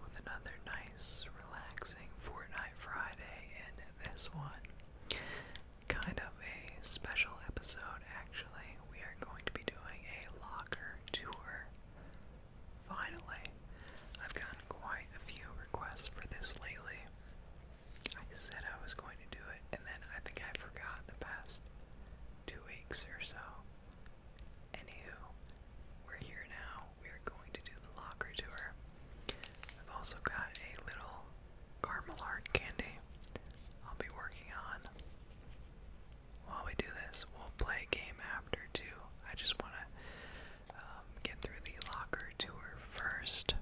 with another nice, relaxing Fortnite Friday, and this one, kind of a special episode actually. We are going to be doing a locker tour. Finally, I've gotten quite a few requests for this lately. I said I was going to do it, and then I think I forgot the past two weeks or so. Anywho, we're here now. We are going to do the locker tour. I've also got a little caramel heart candy I'll be working on. While we do this, we'll play a game after too. I just want to um, get through the locker tour first,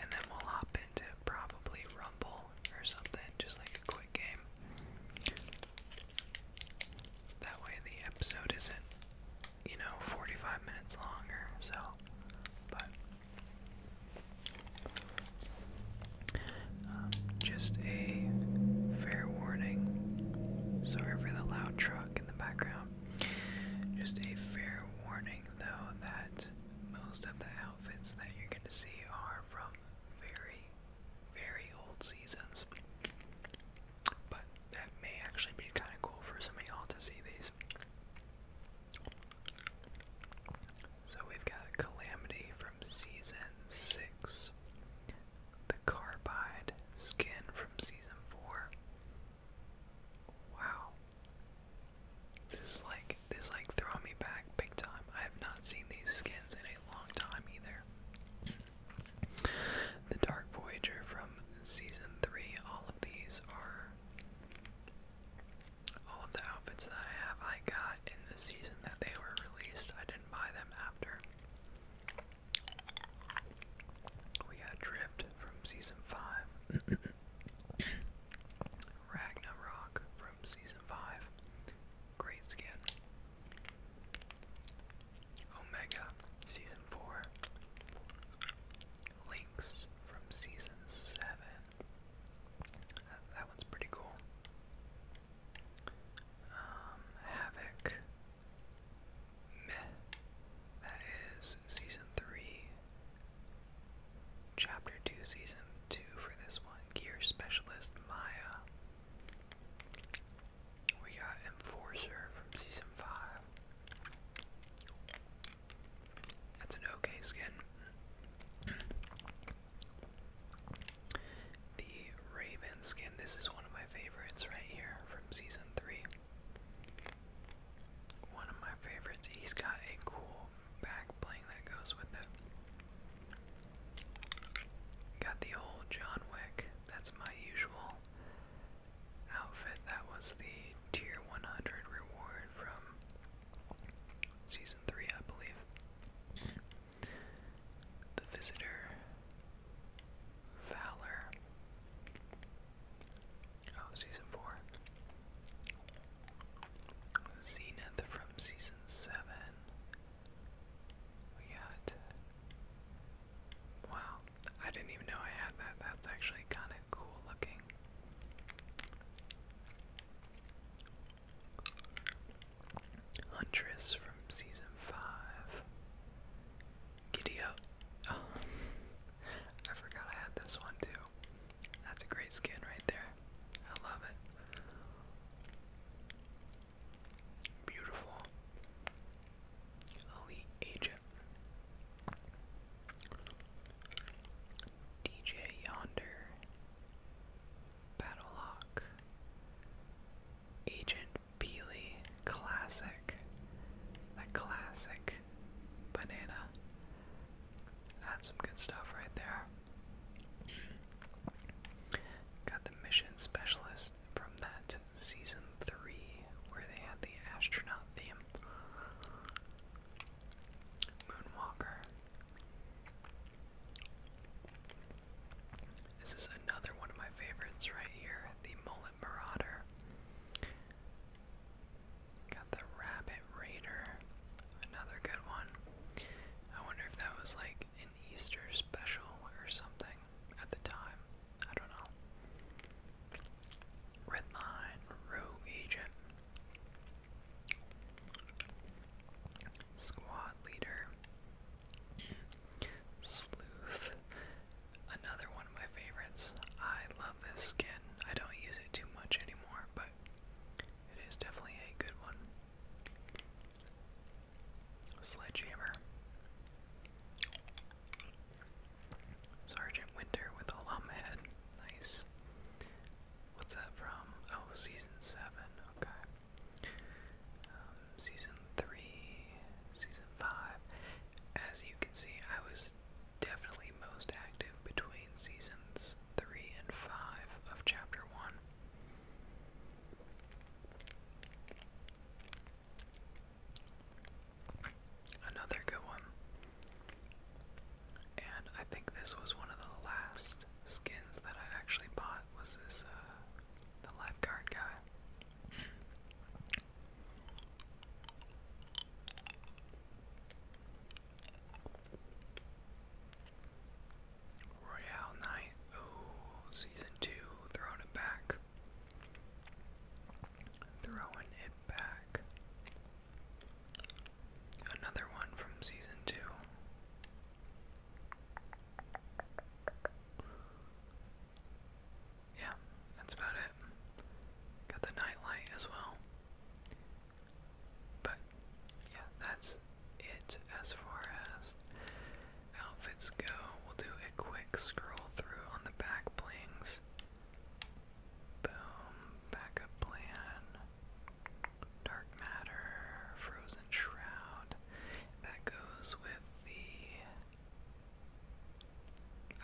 and then we'll hop into probably Rumble or something, just like a quick game. That way the episode isn't you know, 45 minutes longer, so, but, um, just a fair warning, sorry for the loud truck in the background, just a fair warning, though, that most of the outfits that you're going to see are from very, very old seasons. But that may actually be kind of cool for some of y'all to see these. So we've got Calamity from season 6, the Carbide skin from season 4. Wow. This is like this like throwing me back big time. I have not seen these skins in a long time either. The Dark Voyager from season three. All of these are all of the outfits that I have. I got in the season that they were released. I didn't buy them after. We got Drift from season five. Ragnarok from season 5. Great skin. Omega Season 4, Links from Season 7. That, that one's pretty cool. Um, Havoc. That is Season 3, Chapter 2, Season 2 for this one. Gear Specialist Maya. We got Enforcer from Season 5. That's an okay skin. the Raven skin, this is one of my favorites right here from Season 3. One of my favorites. He's got a cool back bling that goes with it. Got the old John Wick. That's my usual outfit. That was the tier 100 reward from season 3, I believe. The Visitor, Valor. Oh, season 4. Zenith from season 7. We got Wow, I didn't even know I had that. That's actually kind of cool looking. Huntress from season 5. Giddy I forgot I had this one too. That's a great skin right there. I love it. Beautiful. Elite Agent. DJ Yonder. Battlelock. Agent Peely. Classic. A classic banana. That's some good stuff right there. Got the mission specialist from that season three where they had the astronaut theme. Moonwalker. This is another one of my favorites right here, the Mullet Marauder. Got the Rabbit Raider, another good one. I wonder if that was like Easter special or something at the time. I don't know. Redline, Rogue Agent, Squad Leader, Sleuth, another one of my favorites. I love this skin. I don't use it too much anymore, but it is definitely a good one. Sledgehammer. Sergeant Winter with a lum head. Nice. What's that from? Oh, season 7. Okay. Um, season 3, season 5. As you can see, I was definitely most active between seasons 3 and 5 of chapter 1. Another good one. And I think this was one of the last skins that I actually bought was this uh, the lifeguard guy. Royale Knight. Oh, season two. Throwing it back. Throwing it back. Another one from season two. Yeah, that's about it. Got the nightlight as well. But yeah, that's it as far as outfits go, we'll do a quick scroll through on the back blings. Boom, backup plan, dark matter, frozen shroud. That goes with the.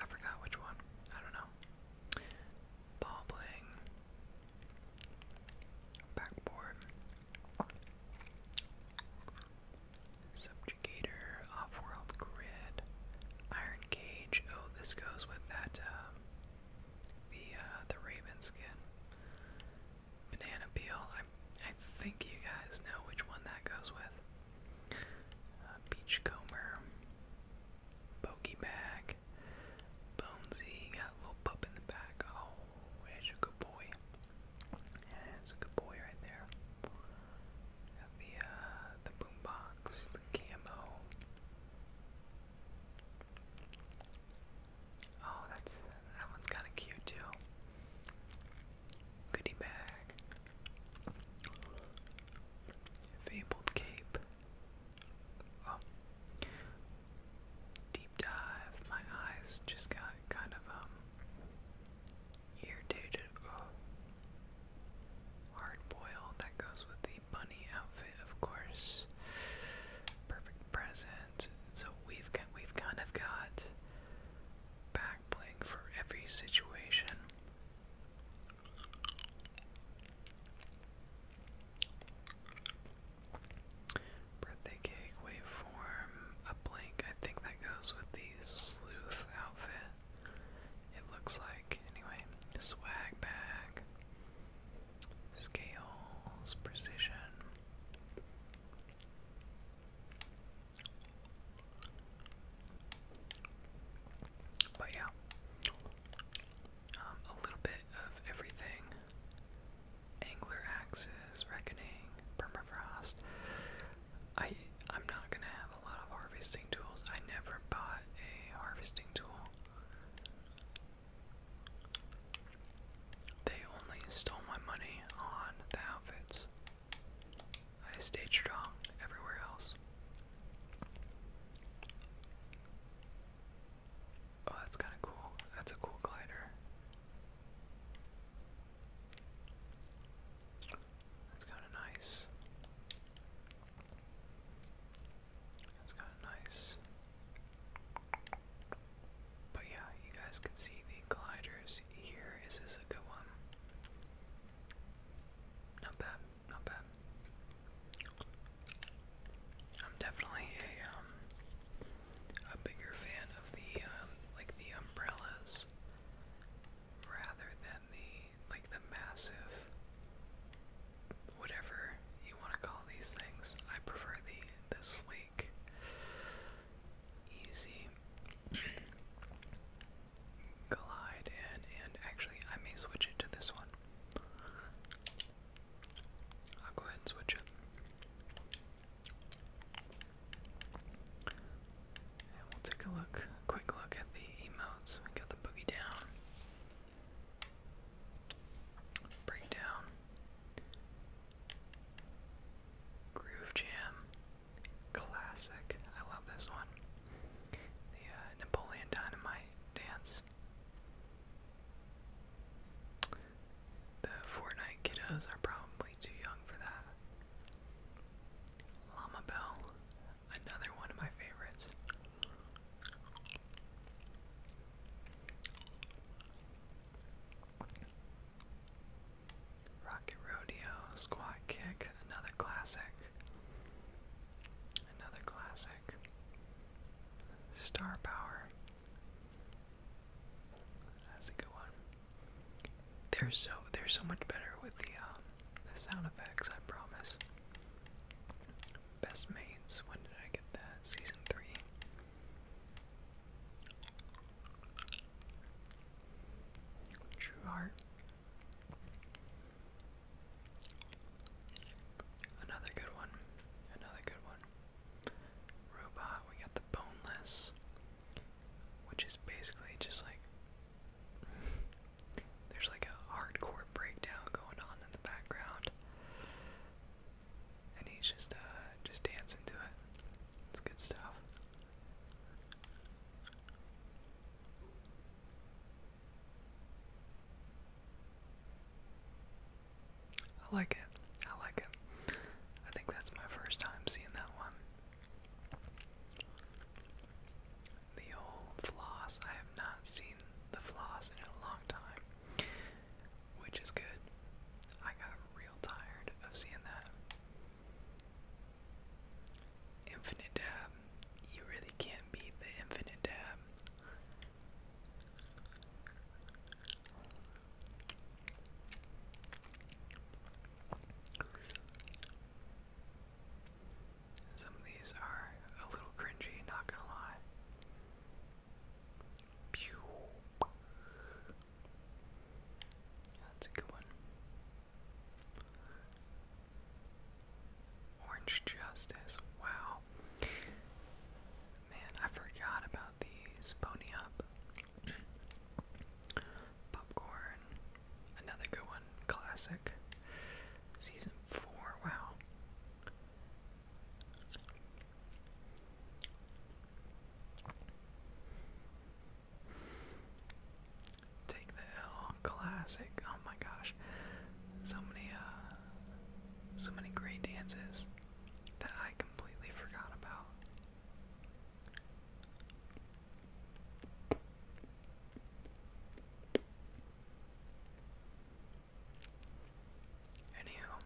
I forgot which one. I don't know. Ball backboard. Subjugator, Offworld Grid, Iron Cage. Oh, this goes with that um, the uh, the Raven skin. Banana Peel. I I think you guys know which one that goes with. Uh, Beachcomber, Bogey Bag, Bonesy. Got a little pup in the back. Oh, that's a good boy. Yeah, a good boy right there. the uh the boombox, the camo. Oh, that's that one's kinda cute too. Goodie bag. Fabled cape. Oh. Deep dive. My eyes just got kind of um Irritated. Oh. Hard boiled. That goes with the bunny outfit, of course. Perfect present. So we've we've kind of got back for every situation. Birthday cake, waveform, a blink. I think that goes with the sleuth outfit. It looks like, anyway, swag bag, scales, precision. But yeah, um, a little bit of everything. Angler Axes, Reckoning, Permafrost. I I'm not gonna have a lot of harvesting tools. I never bought a harvesting tool. They only stole my money on the outfits. I stayed strong everywhere else. Oh, that's kind of cool. That's a cool glider. That's kind of nice. That's kind of nice. But yeah, you guys can see the gliders here. Is this a good one? Not bad, not bad. I'm definitely a um a bigger fan of the um, like the umbrellas rather than the like the massive whatever you want to call these things. I prefer the the sleek, easy glide and and actually I may switch it to this one. I'll go ahead and switch it we'll take a look, quick look at the emotes. We got the boogie down, breakdown, groove jam, classic. I love this one. The uh, Napoleon Dynamite dance. The Fortnite kiddos are probably too young for that. Llama Bell, another one of my favorites. Rocket Rodeo, Squat Kick, another classic. Another classic. Star Power, that's a good one. They're so they're so much better with the um, the sound effects, I promise. Best mates, when did I get that? Season three. True Heart. Another good one. Another good one robot. We got the boneless, which is basically just like there's like a hardcore breakdown going on in the background, and he's just uh just dancing to it. It's good stuff. I like it. I like it. I think that's my first time seeing that one. The old floss. I have not seen the floss in a long time, which is good. I got real tired of seeing that. Infinite dab. You really can't beat the infinite dab. Some of these are a little cringy, not gonna lie. That's a good one. Orange Justice. Wow. Man, I forgot about these Pony Up, Popcorn, another good one, classic. Season 4, wow. Take the L, classic. Oh my gosh, so many, uh, so many great dances that I completely forgot about. Anyhow,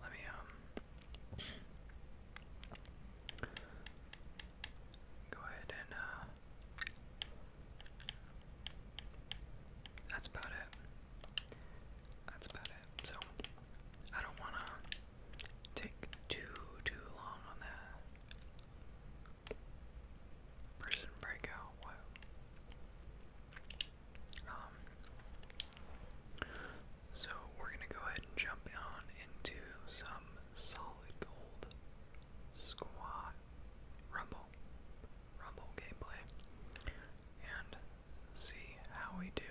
let me um go ahead and uh that's about it that's about it. So I don't wanna take too too long on that. Prison breakout, Um so we're gonna go ahead and jump on into some solid gold squad. Rumble, Rumble gameplay, and see how we do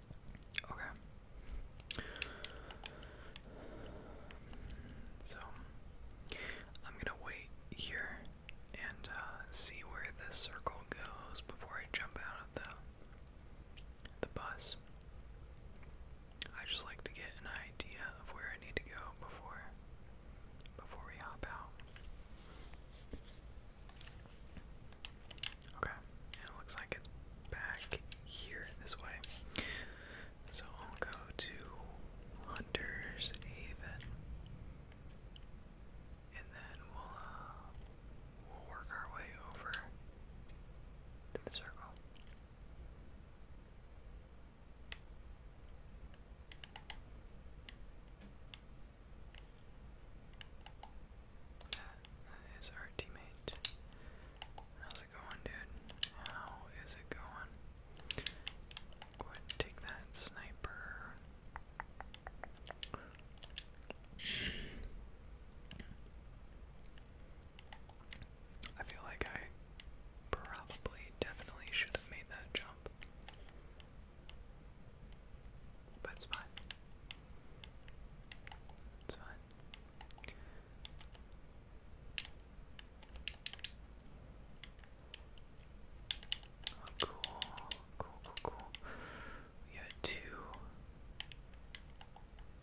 okay. So I'm going to wait here and uh, see where this circle goes before I jump out of the the bus. I just like to get an idea of where I need to go before before we hop out. Okay, it looks like it's back here this way. So I'll go to Hunter's Haven and then we'll uh, we'll work our way over to the circle. that is our teammate. How's it going, dude? How is it going? Go ahead take that sniper. I feel like I probably definitely should have made that jump. But it's fine. It's fine cool, cool, cool, cool. We got two,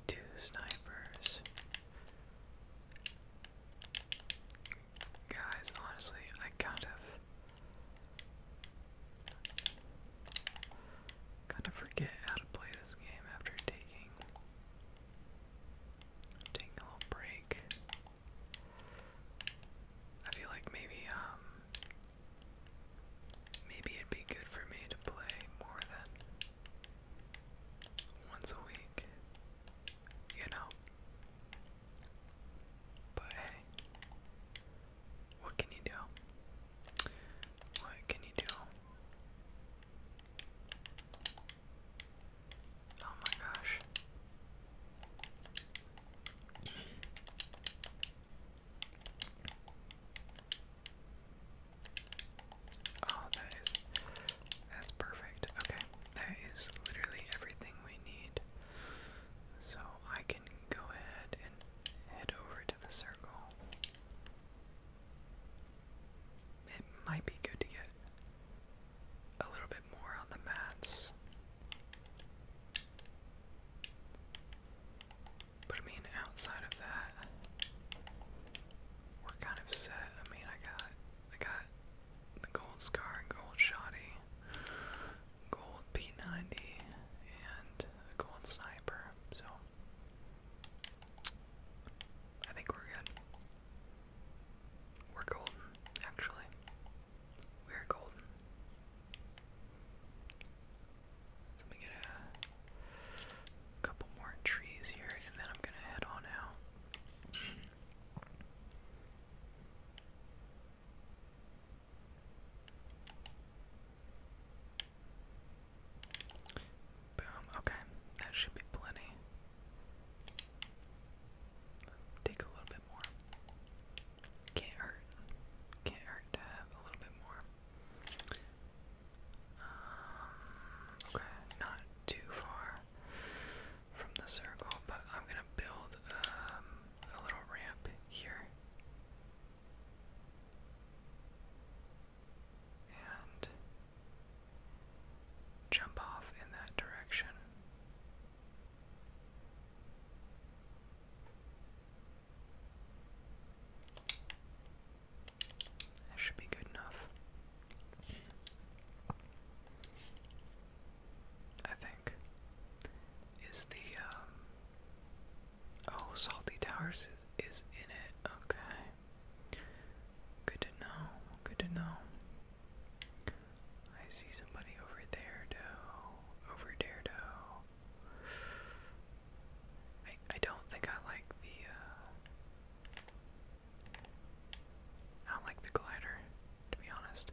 two snipers. Guys, honestly, I kind of, kind of forget how to play this game after taking, taking a little break. I feel like maybe um maybe it'd be good for me to play more than once a week, you know. But hey, what can you do? What can you do? Oh my gosh. Oh, that is that's perfect. Okay, that is literally everything we need. So I can go ahead and head over to the circle. It might be good to get a little bit more on the mats. But I mean, outside of that, we're kind of set. I mean, I got, I got the gold scar and gold shotty, gold P90, and a gold sniper. So I think we're good. We're golden, actually. We're golden. let me get a couple more trees here, and then I'm gonna head on out. Boom, okay, that should be plenty. Take a little bit more. Can't hurt. Can't hurt to have a little bit more. Um, okay, not too far from the circle, but I'm gonna build um, a little ramp here. And jump off in that direction. That should be good enough. I think. Is the, um, Oh, Salty Towers is in it. Okay. Good to know. Good to know. I see somebody over there, though. Over there, though. I I don't think I like the. Uh, I don't like the glider, to be honest.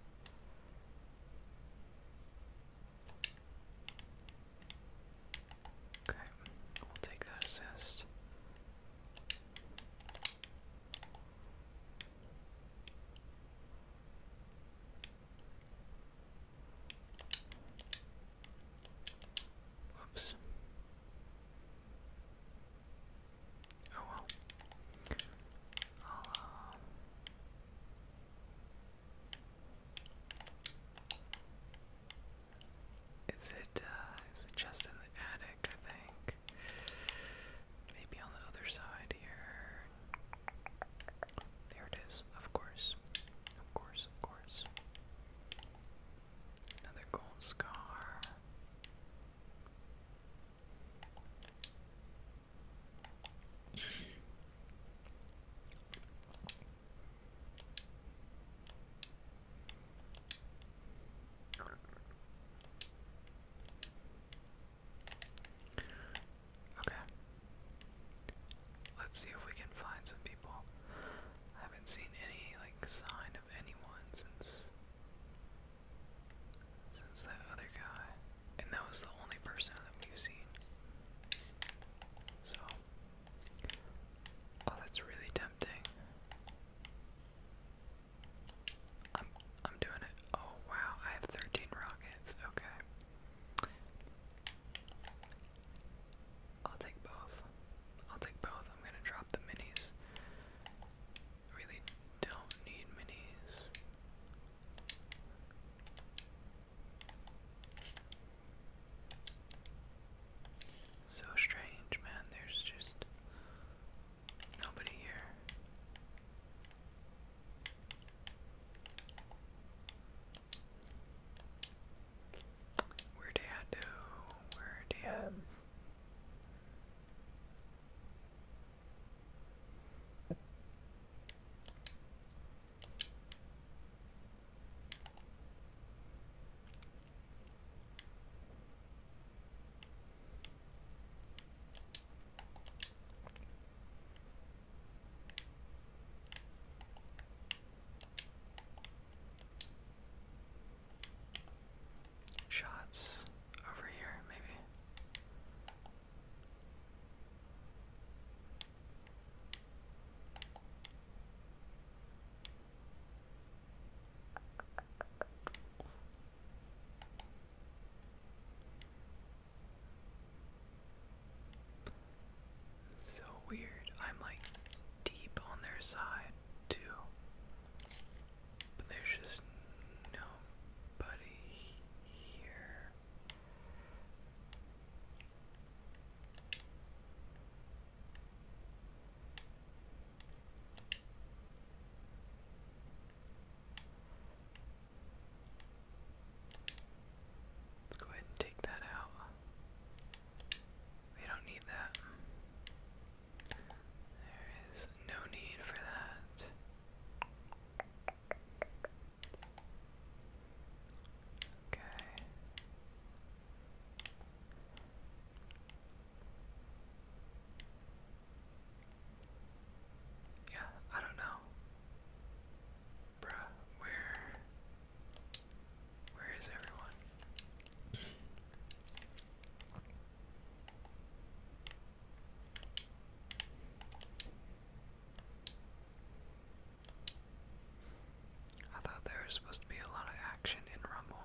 Okay, we'll take that assist. Whoops. Oh well. Uh, is it, uh, it just in the attic, I think? Maybe on the other side here. There it is, of course. Of course, of course. Another gold scar. Okay. Let's see if we can find some people. I haven't seen any like sign of anyone since since that other guy. And that was the only person that we've seen. So Oh, that's really tempting. I'm I'm doing it. Oh wow, I have 13 rockets. Okay. I'll take both. I'll take both. I'm gonna drop the minis. really don't need minis. So strange, man. There's just Nobody here. Where dad? Where dad? Um, Shots over here, maybe. So weird. I'm like deep on their side too. But there's just nobody here. Let's go ahead and take that out. We don't need that. There is no need for that. Okay. Yeah, I don't know. Bruh, where where is everyone? I thought there supposed to be a lot of action in Rumble.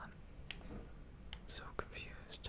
I'm so confused.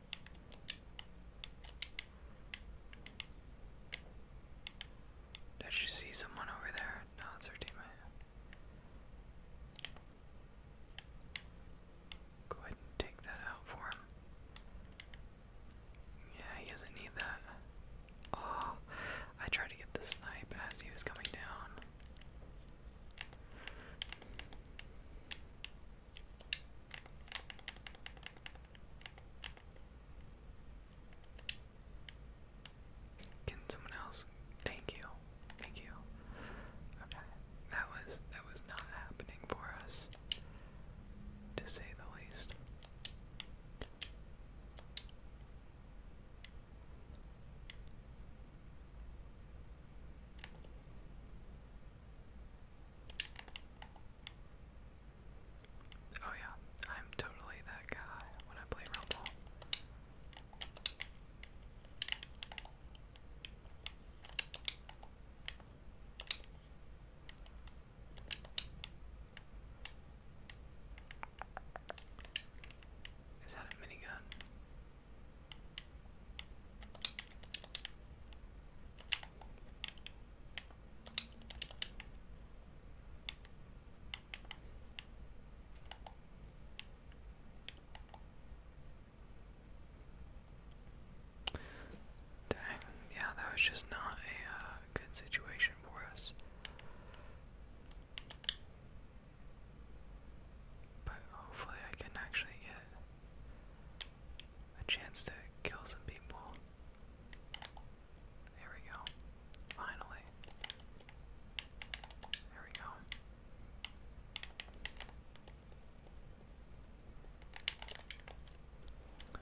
Did you see someone over there? No, it's our teammate. Go ahead and take that out for him. Yeah, he doesn't need that. Oh, I tried to get the snipe as he was coming down. Can someone else? Thank you. Thank you. Okay. That was that was not happening for us to say the least. Oh yeah, I'm totally that guy when I play Rumble. Is that a minigun? Dang, yeah, that was just not a uh, good situation for us. But hopefully, I can actually get a chance to kill some people. There we go. Finally. There we go.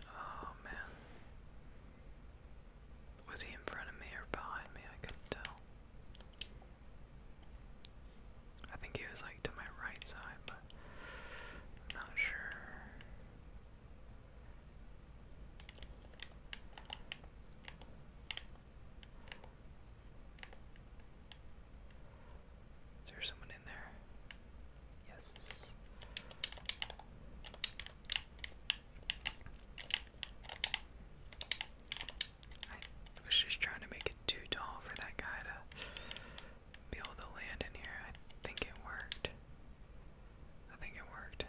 Oh man. Was he in front of me or behind me? I couldn't tell. I think he was like to my right side, but not sure. Is there someone in there? Yes. I was just trying to make it too tall for that guy to be able to land in here. I think it worked. I think it worked.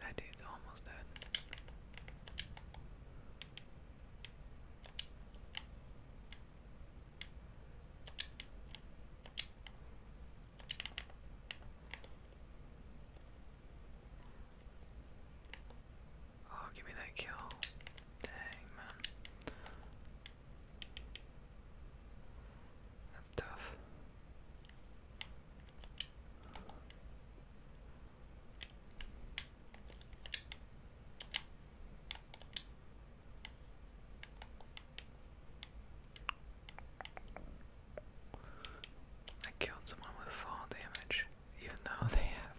That dude's almost dead. Oh, give me that kill. Dang, man. That's tough. I killed someone with fall damage, even though they have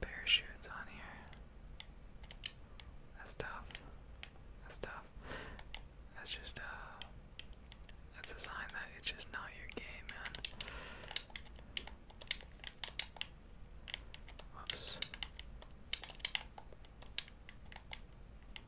parachutes on here. That's tough. That's tough. That's just, uh, that's a sign that it's just not your game, man. Whoops.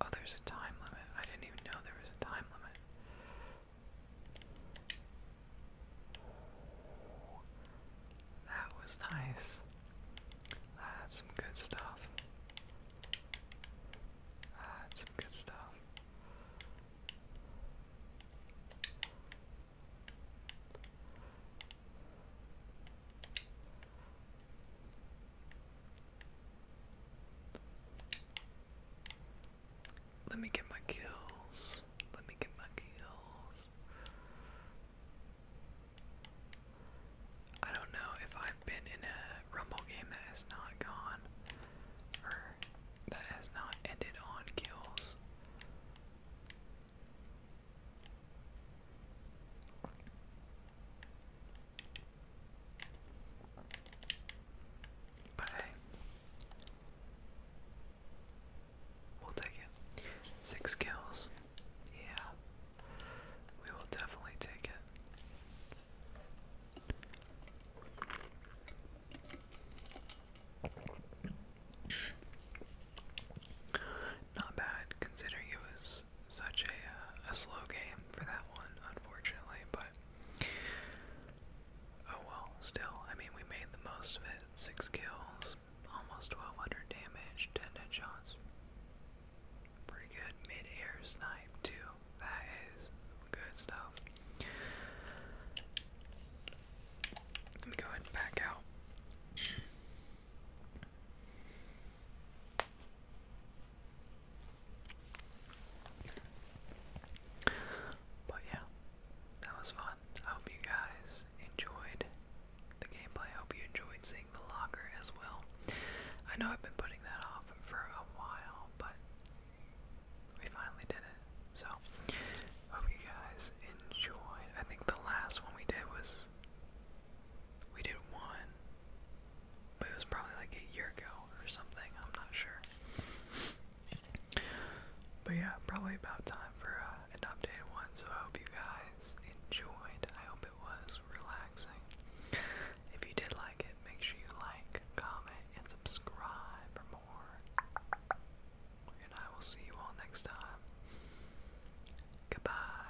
Oh, there's a time limit. I didn't even know there was a time limit. That was nice. That's some good stuff. That's some good stuff. Let me get my kills. Let me get my kills. I don't know if I've been in a Rumble game that has not gone or that has not ended on kills. But hey, we'll take it. Six kills. Yeah, we will definitely take it. Not bad considering it was such a, uh, a slow game for that one, unfortunately, but oh well, still, I mean, we made the most of it. Six kills, almost 1200 damage, 10 headshots. Pretty good mid-air snipe, too. That is good stuff. Let me go ahead and back out. But yeah, that was fun. I hope you guys enjoyed the gameplay. I hope you enjoyed seeing the locker as well. I know I've been putting that off for a while, but we finally did it. So, hope you guys enjoyed. I think the last one we did was we did one, but it was probably like a year ago or something. I'm not sure. But yeah, probably about time for uh, an updated one. So I hope you guys enjoyed. I hope it was relaxing. If you did like it, make sure you like, comment, and subscribe for more. And I will see you all next time. Goodbye.